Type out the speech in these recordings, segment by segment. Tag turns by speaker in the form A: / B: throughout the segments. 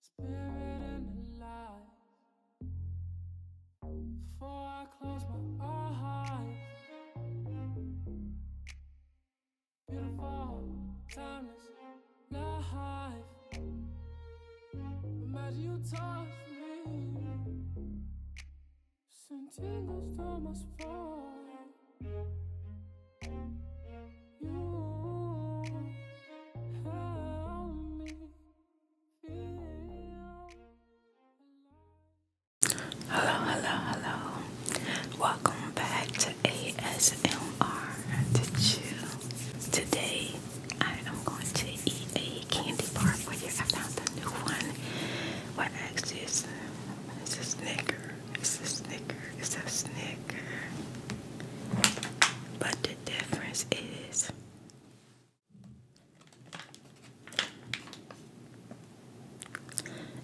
A: spirit and the light. Before I close my eyes, beautiful, timeless life. Imagine you touch me, Sentinels tingles to my Hello, hello, hello. Welcome back to ASMR to Chill. Today I am going to eat a candy bar for you. I found a new one. What next is it's a snicker. It's a snicker. It's a but the difference is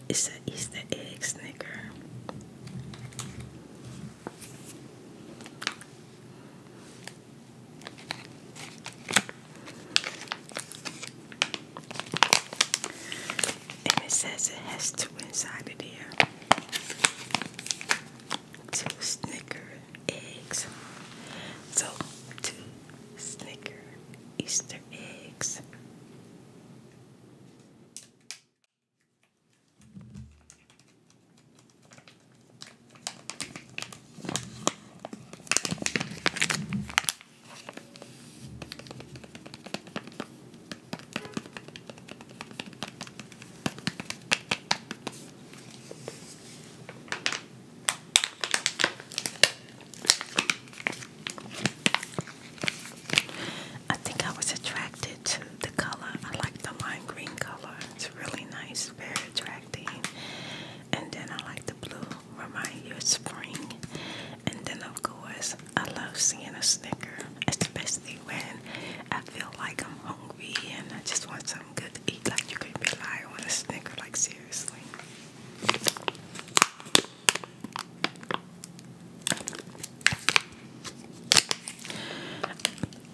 A: it's an Easter egg snicker and it says it has two inside of there. Two Snicker eggs. So two Snicker Easter eggs. I think I was attracted to the color. I like the light green color. It's really nice, very attractive. And then I like the blue, remind you of spring. And then of course, I love seeing a snicker, thing when I feel like I'm hungry and I just want something good to eat. Like you can rely on a snicker, like seriously.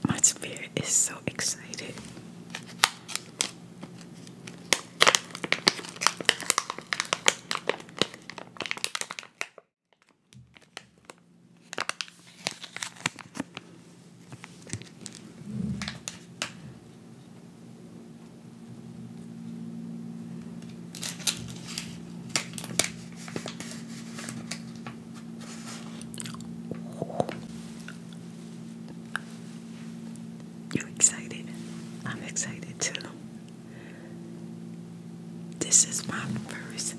A: My spirit is so excited. You excited? I'm excited too. This is my first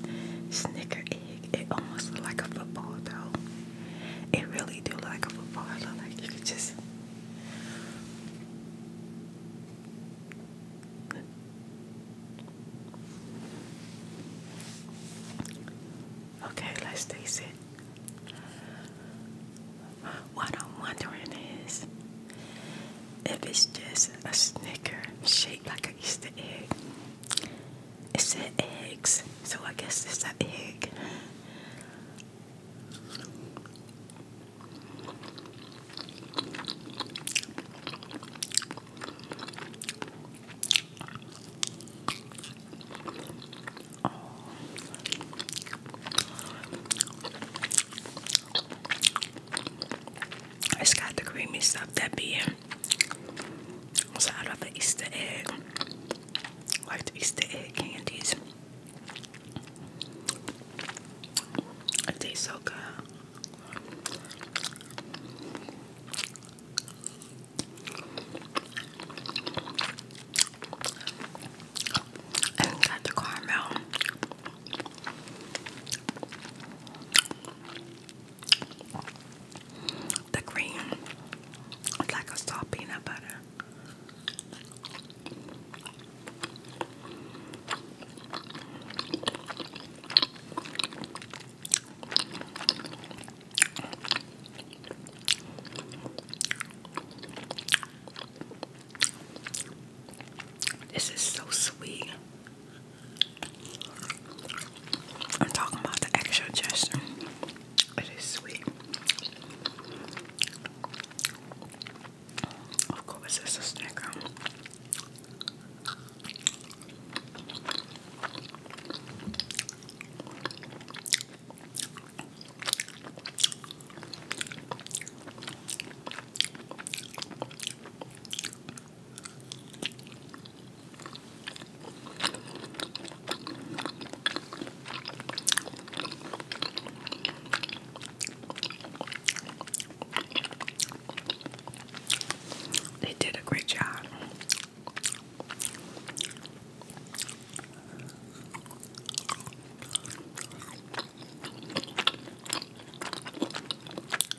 A: Snicker egg. It almost looked like a football though. It really do like a football. Look like you could just Okay, let's taste it. What I'm wondering is if it's just a snicker shaped like an Easter egg, it's said eggs, so I guess it's an egg. It's got the creamy stuff that be in. So I love the Easter egg. Like the Easter egg candies. It tastes so good. And got the caramel the green like a soft peanut butter. This is so sweet. I'm talking about the actual gesture. It is sweet. Of course, it's a snicker. Um. They did a great job.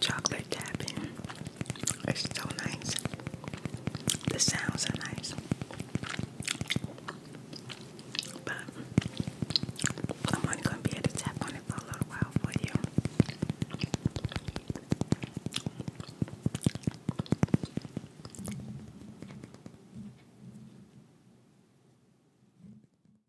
A: Chocolate tapping. It's so nice. The sounds are nice. But I'm only gonna be able to tap on it for a little while for you.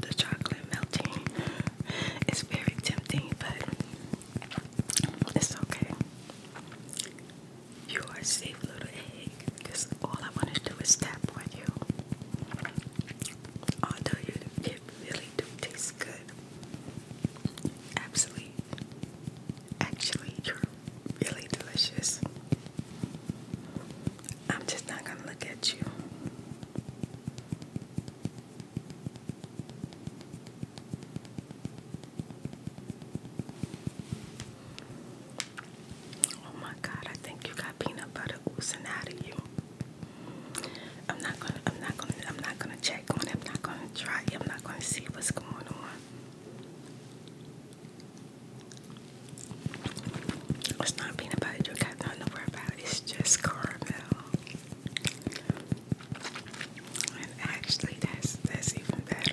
A: The chocolate melting is very tempting, but it's okay. You are safe, little egg, because all I want to do is tap on you. Although you, it really do taste good. Absolutely Actually, you're really delicious. I'm just not going to look at you. Oh my god, I think you got peanut butter oozing out of you. I'm not gonna I'm not gonna I'm not gonna check on it. I'm not gonna try I'm not gonna see what's going on. It's not peanut butter. You got nothing to worry about. It's just caramel. And actually, that's that's even better.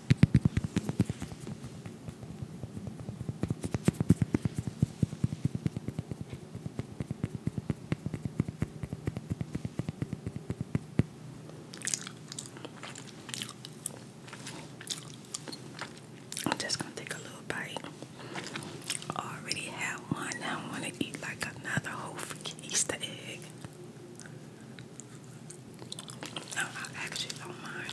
A: I'm just gonna take a little bite. already have one. I want to eat like another whole freaking Easter egg. No, I actually don't mind.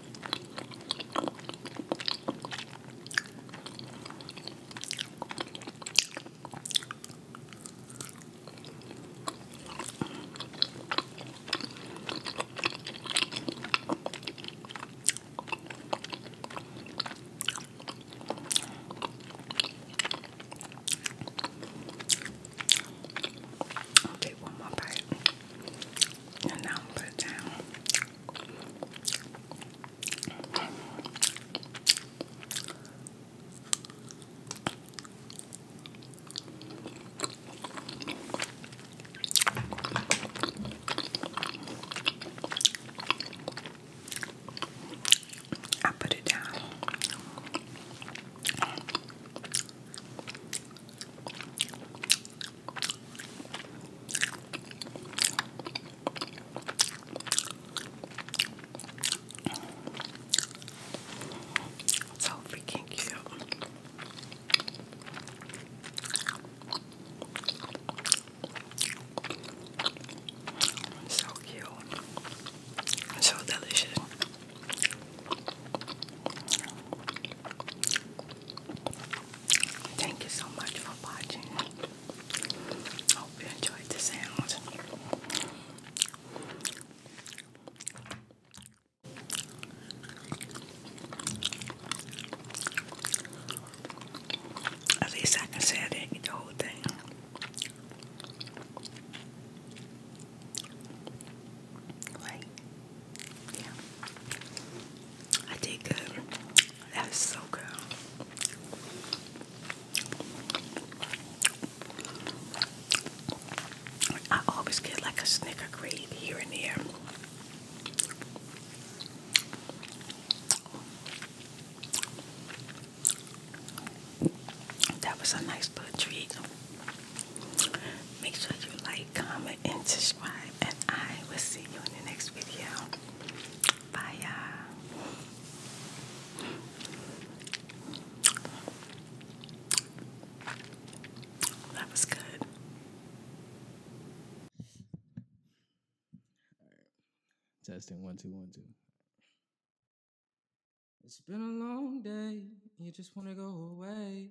A: I'll take one more bite and now put it down. I put it down. So freaking cute. So cute. So delicious. Thank you so much for watching. Hope you enjoyed the sounds. At least I can say I did the whole thing. Yeah. I did good. That's so good. I always get like a snicker grade here and there. That was a nice little treat. Make sure you like, comment, and subscribe. And I will see you in the next video. Bye, y'all. That was good. Testing one, two, one, two. It's been a long day. You just want to go away.